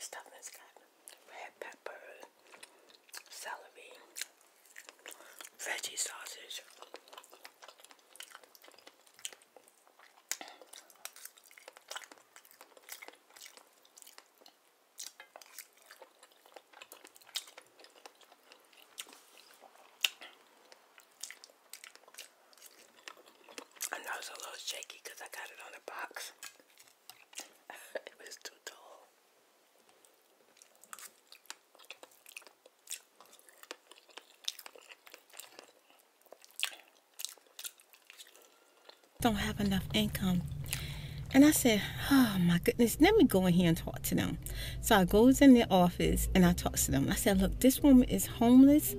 Stuff that's got red pepper, celery, veggie sausage. I know it's a little shaky I got it on a box. it was too tall. Don't have enough income. And I said, oh my goodness, let me go in here and talk to them. So I goes in their office and I talks to them. I said, look, this woman is homeless.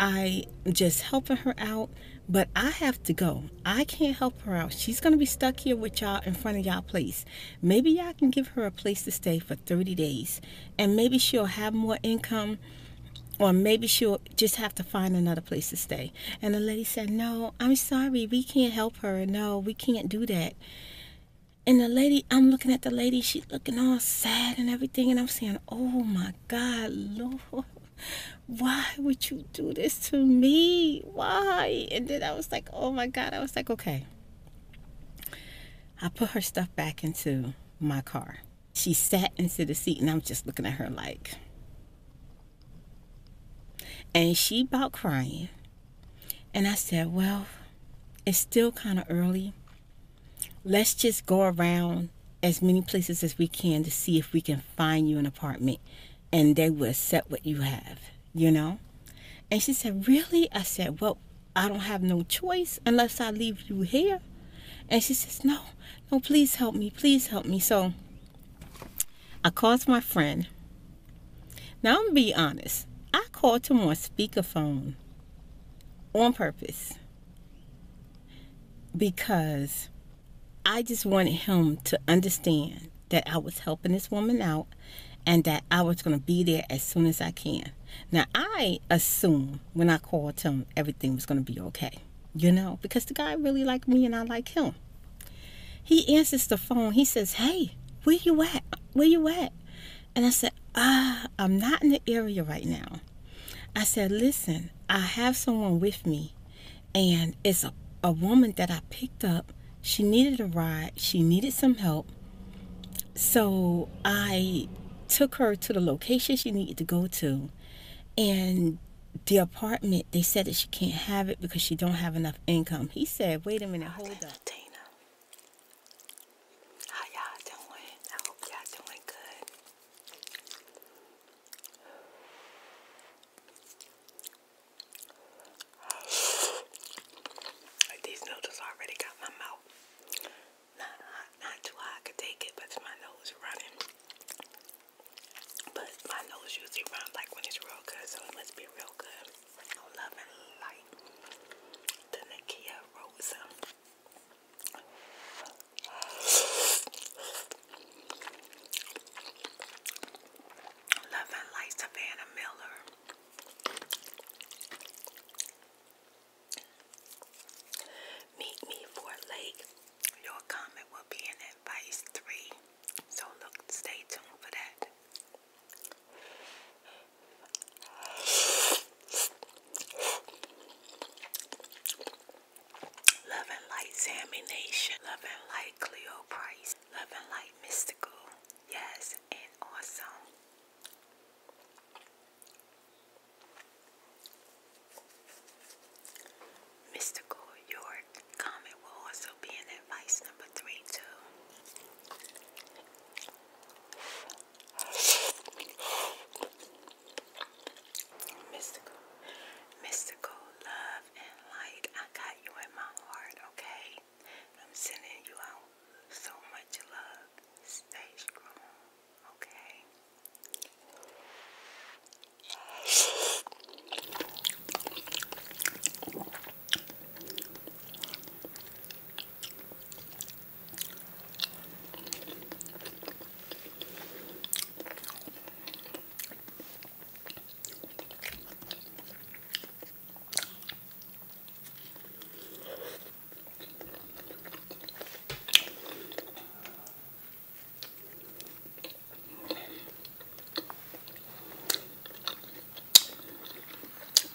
I am just helping her out, but I have to go. I can't help her out. She's going to be stuck here with y'all in front of y'all place. Maybe y'all can give her a place to stay for 30 days. And maybe she'll have more income or maybe she'll just have to find another place to stay. And the lady said, No, I'm sorry, we can't help her. No, we can't do that. And the lady, I'm looking at the lady, she's looking all sad and everything. And I'm saying, Oh my God, Lord, why would you do this to me? Why? And then I was like, oh my God. I was like, okay. I put her stuff back into my car. She sat into the seat, and I'm just looking at her like, and she about crying. And I said, well, it's still kind of early. Let's just go around as many places as we can to see if we can find you an apartment and they will accept what you have, you know? And she said, Really? I said, Well, I don't have no choice unless I leave you here. And she says, No, no, please help me. Please help me. So I called my friend. Now, I'm going to be honest. I called him on speakerphone on purpose because I just wanted him to understand that I was helping this woman out and that I was going to be there as soon as I can. Now, I assume when I called him everything was going to be okay, you know, because the guy really liked me and I liked him. He answers the phone. He says, Hey, where you at? Where you at? And I said, Ah, I'm not in the area right now. I said, Listen, I have someone with me and it's a, a woman that I picked up. She needed a ride, she needed some help. So I took her to the location she needed to go to. And the apartment, they said that she can't have it because she don't have enough income. He said, wait a minute, hold up. Tina. How y'all doing? I hope y'all doing good. These notes already got my mouth not hot, not too hot. could take it, but my nose running. But my nose usually runs like when it's real good, so it must be real good. loving like the Nakia Rosa. Love and Light Savannah Miller. Meet me for lake. Your comment will be in advice three. So look, stay tuned for that. Love and Light Sammy Love and Light Cleo Price. Love and light mystical, yes, and awesome. Mystical York comment will also be in advice number three too. Mystical, mystical love and light. I got you in my heart, okay? I'm sending you out so much love. Stay strong, okay?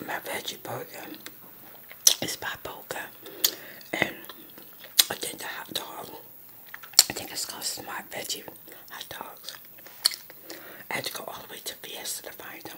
My veggie burger is by Boca, and I think the hot dog. I think it's called Smart Veggie Hot Dogs. I had to go all the way to Fiesta to find them.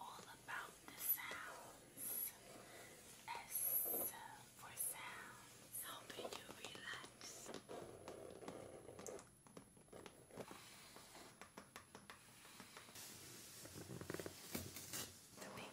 all about the sounds. S for sounds. Helping you relax. The big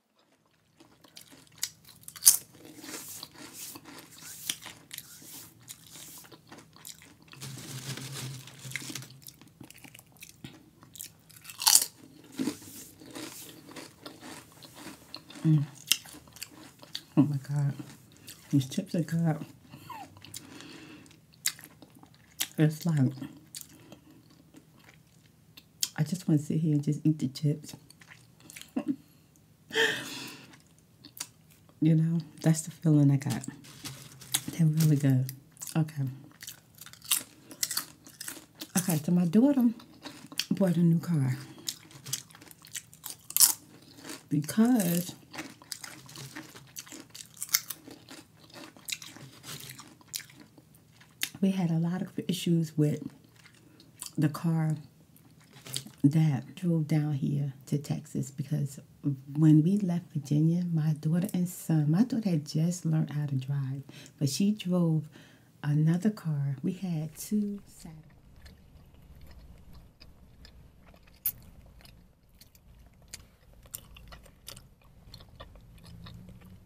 Mm. Oh my god. These chips are good. It's like I just want to sit here and just eat the chips. you know, that's the feeling I got. They're really good. Okay. Okay, so my daughter bought a new car. Because we had a lot of issues with the car that drove down here to Texas because when we left Virginia, my daughter and son, my daughter had just learned how to drive, but she drove another car. We had two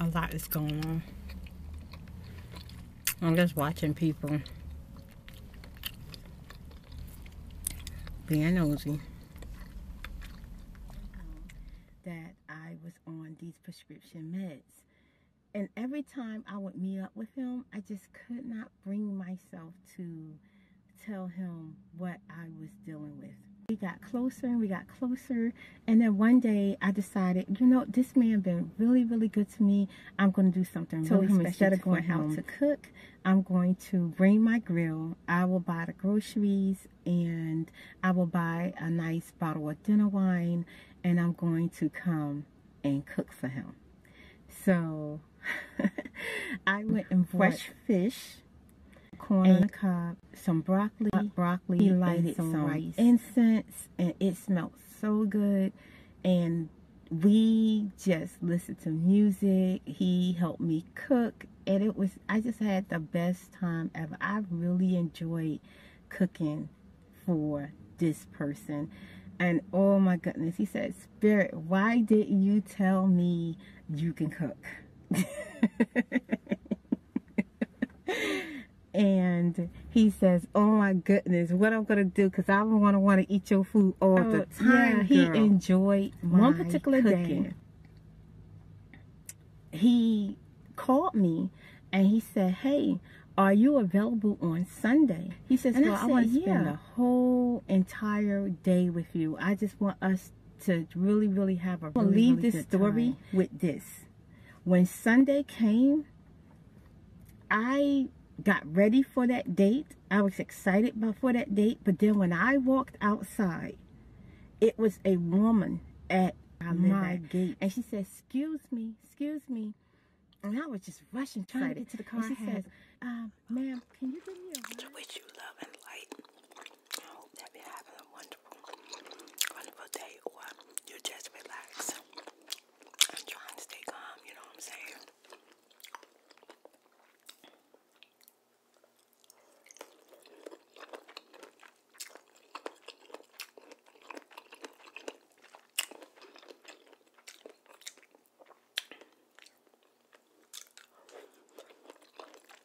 A lot is going on. I'm just watching people being nosy. That I was on these prescription meds. And every time I would meet up with him, I just could not bring myself to tell him what I was dealing with. We got closer and we got closer. And then one day I decided, you know, this man been really, really good to me. I'm going to do something really special instead of going him. to cook. I'm going to bring my grill. I will buy the groceries and I will buy a nice bottle of dinner wine and I'm going to come and cook for him. So I went and fresh fish corn on the cob, some broccoli, broccoli, he some, rice. incense, and it smelled so good. And we just listened to music. He helped me cook, and it was I just had the best time ever. I really enjoyed cooking for this person. And oh my goodness, he said, Spirit, why did you tell me you can cook? and he says, "Oh my goodness, what I'm gonna do? Cause I'm gonna want to eat your food all the oh, time." Yeah, he enjoyed one particular day. He called me, and he said, "Hey." Are you available on Sunday? He says, Well, I, want to spend the whole entire day with you. I just want us to really, really have a really, leave this story with this. When Sunday came, I got ready for that date. I was excited for that date. But then when I walked outside, it was a woman at my gate. And she said, excuse me, excuse me. And I was just rushing, trying to get to the car. she says, um, ma'am, Ma'am, can you give me a wish you love and light. I hope that you're having a wonderful, wonderful day or you just relax. I'm trying to stay calm, you know what I'm saying?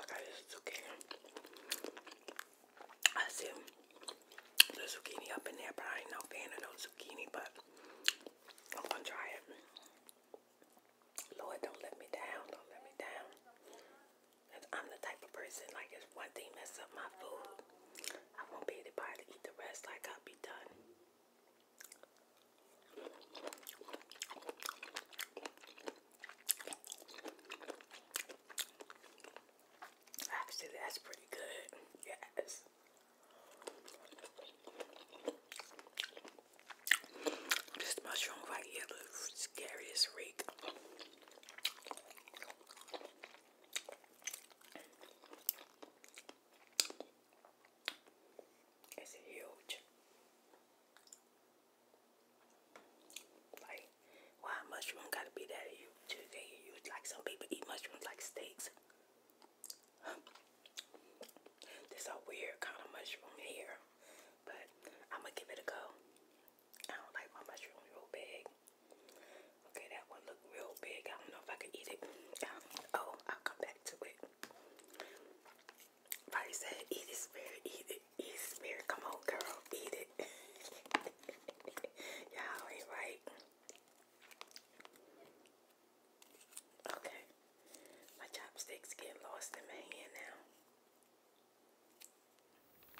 Acá hay zucchini. I assume the zucchini up in there, but I ain't no fan of no zucchini, but I'm gonna try it. Lord, don't let me down, don't let me down. I'm the type of person, like, if one thing mess up my food, I won't be able to eat the rest, like, I'll be done. Actually, that's pretty good. Yes. This mushroom right here looks scary It's huge. Like, why mushroom gotta be that huge? like some people eat mushrooms like steaks. This a weird kind of mushroom here, but I'm gonna give it a go. I don't like my mushroom real big. Okay, that one look real big. I don't know if I can eat it. Oh, I'll come back to it. Probably said eat it, spirit, eat it. Eat spirit, come on, girl, eat it. Y'all ain't right. Okay, my chopsticks get lost in my hand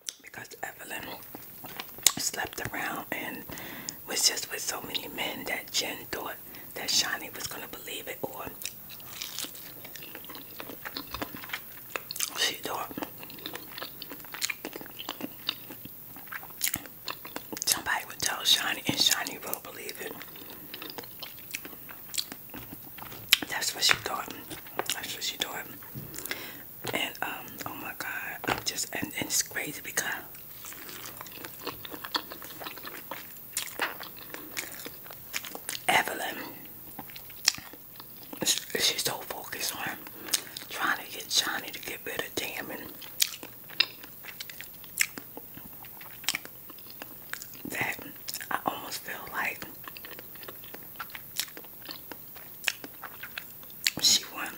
now because Evelyn slept around and was just with so many men that Jen thought that Shani was gonna believe it or she do Somebody would tell Shiny, and Shiny will believe it. That's what she thought. That's what she thought. And um, oh my God, I'm just and it's crazy because Evelyn she's so focused on trying to get Johnny to get rid of Damon that I almost feel like she won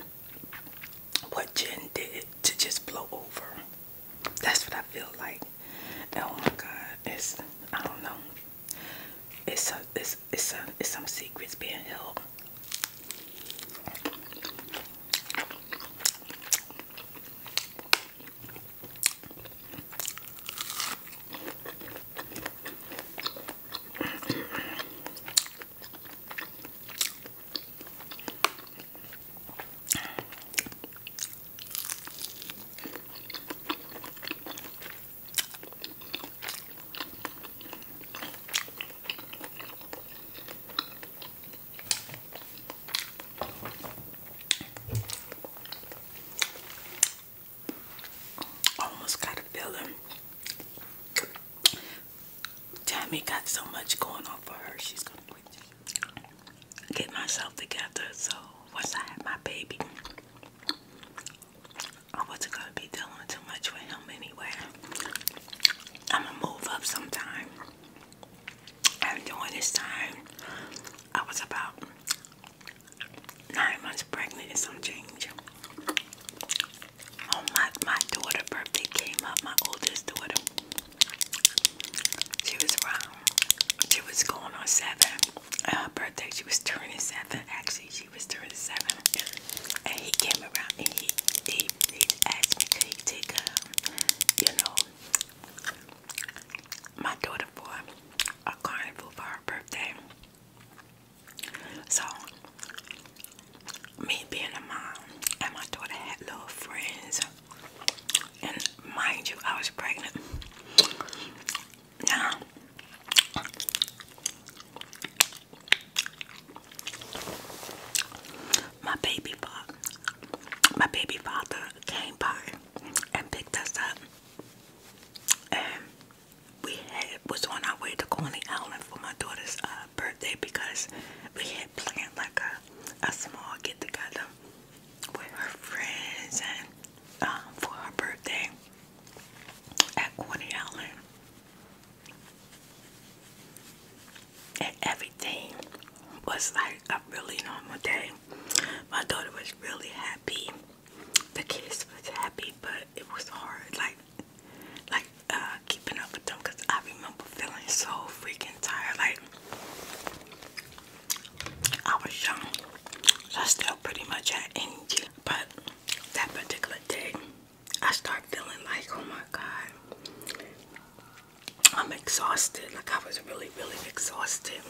what Jen did to just blow over. That's what I feel like. Oh my God, it's I don't know. It's some, it's, it's some, it's some secrets being held almost got a feeling Tammy got so much going on for her, she's gonna get myself together. So once I have my baby, I wasn't gonna be dealing too much with him anyway. I'ma move up sometime. And during this time, I was about nine months pregnant and some change. Oh my my daughter birthday came up, my oldest daughter. She was around. She was going on seven. Her birthday, she was turning seven. Actually, she was 37 and he came around and he, he, he asked me could he take um, you know my daughter for a carnival for her birthday so me being a mom and my daughter had little friends and mind you I was pregnant yeah. My baby father, my baby father came by and picked us up, and we had was on our way to Coney Island for my daughter's uh, birthday because we had planned like a a small get together with her friends and um, for her birthday at Coney Island. And everything was like a really normal day. My daughter was really happy. The kids were happy, but it was hard, like, like uh, keeping up with them. Cause I remember feeling so freaking tired. Like I was young, I still pretty much had but that particular day, I start feeling like, oh my God, I'm exhausted. Like I was really, really exhausted.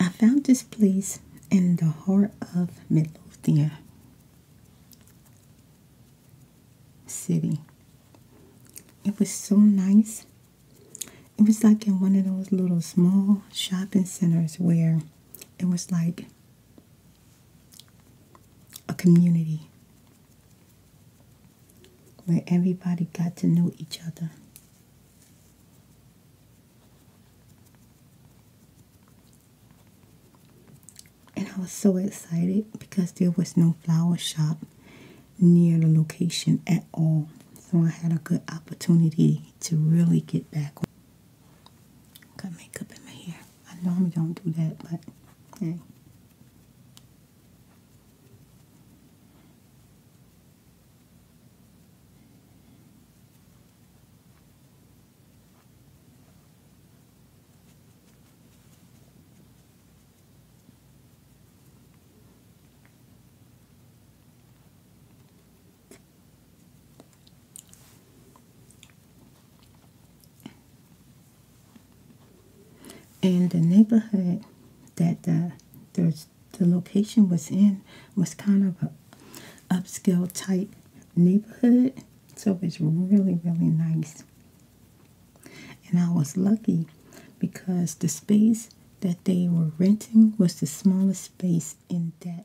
I found this place in the heart of Midlothian city. It was so nice. It was like in one of those little small shopping centers where it was like a community where everybody got to know each other and I was so excited because there was no flower shop near the location at all. So I had a good opportunity to really get back. Got makeup in my hair. I normally don't do that, but hey. And the neighborhood that the, the, the location was in was kind of a upscale type neighborhood. So it's really, really nice. And I was lucky because the space that they were renting was the smallest space in that.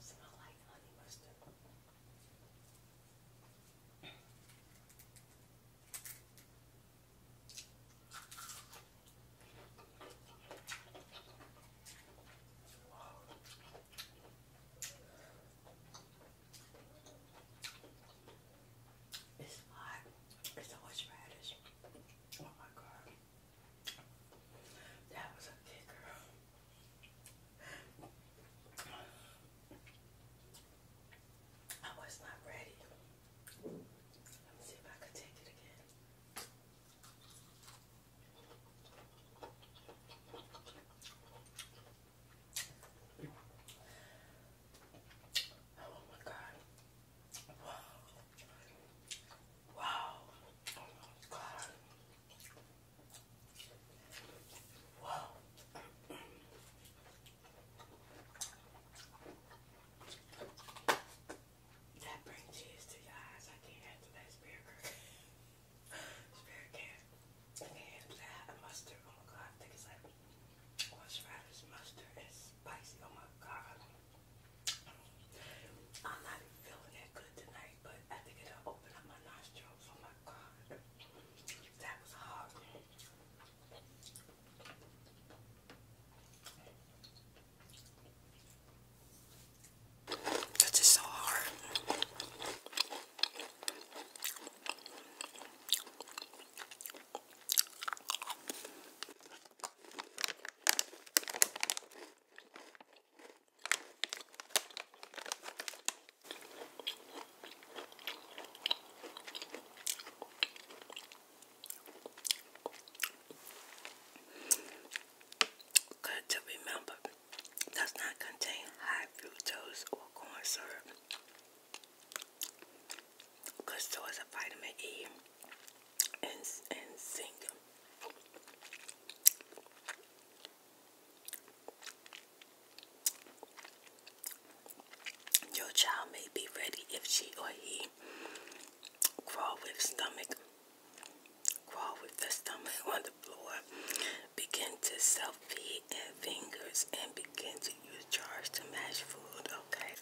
Smell like honey mustard. It's hot. It's horseradish. Oh my god. That was a kicker. I was not ready. Let me see if I could take it again. Oh my god. Wow. Oh my God. Wow. that brings tears to your eyes. I can't handle that spirit girl. spirit can. I can't handle that. Mustard. Oh my God. I think it's like, what's right is spicy. Oh my God. I'm not feeling that good tonight, but I think it'll open up my nostrils. Oh my god. That was hard. That's just so hard. Good to remember does not contain high fructose or corn syrup. Good source of vitamin E and, and sing Your child may be ready if she or he crawl with stomach, crawl with the stomach on the floor, begin to self feed and fingers, and begin to use jars to mash food. Okay.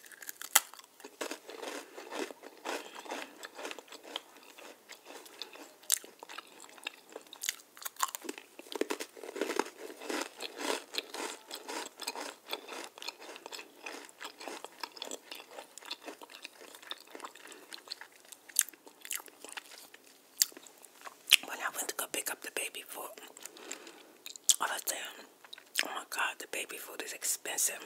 When I went to go pick up the baby food, I was saying, oh my god, the baby food is expensive.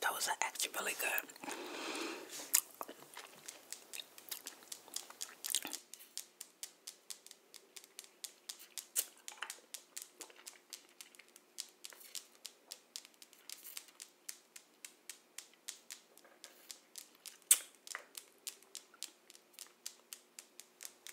Those are actually really good.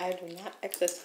I do not exercise.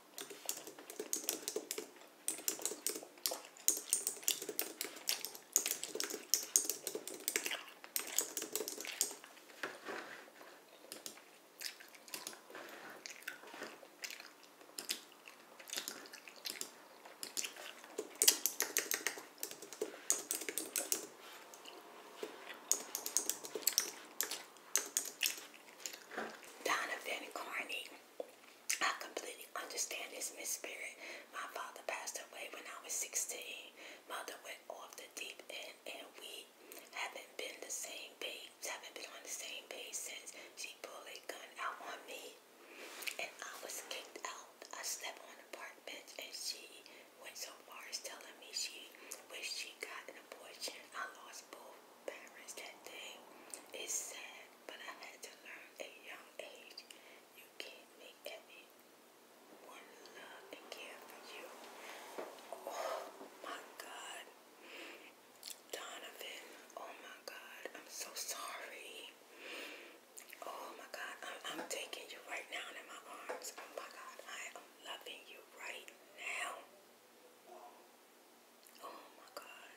Donovan Carney I completely understand this, Miss Spirit. My father passed away when I was 16. Mother went off the deep end, and we haven't been the same page, haven't been on the same page since she pulled a gun out on me. And I was kicked out. I slept on a park bench, and she went so far as telling me she wished she got an abortion. I lost both parents that day. It's sad but I had to learn at young age you can't make everyone love and care for you. Oh my God. Donovan, oh my God, I'm so sorry. Oh my God, I'm taking you right now in my arms. Oh my God, I am loving you right now. Oh my God.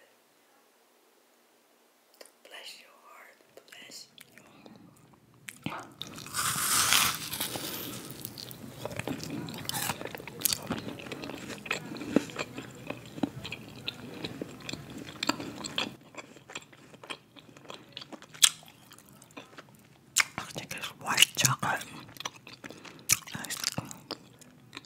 Bless your heart. Bless your heart. I think white chocolate. Nice.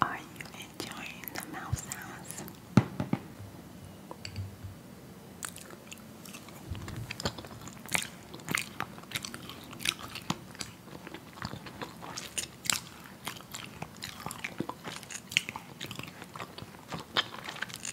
Are you enjoying the mouth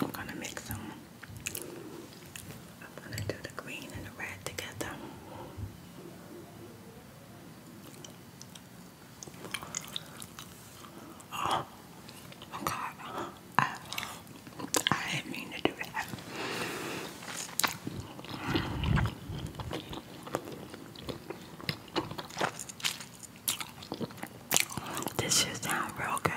I'm gonna mix them. I'm gonna do the green and the red together. Oh, God, I, I mean to do that. This shit sounds real good.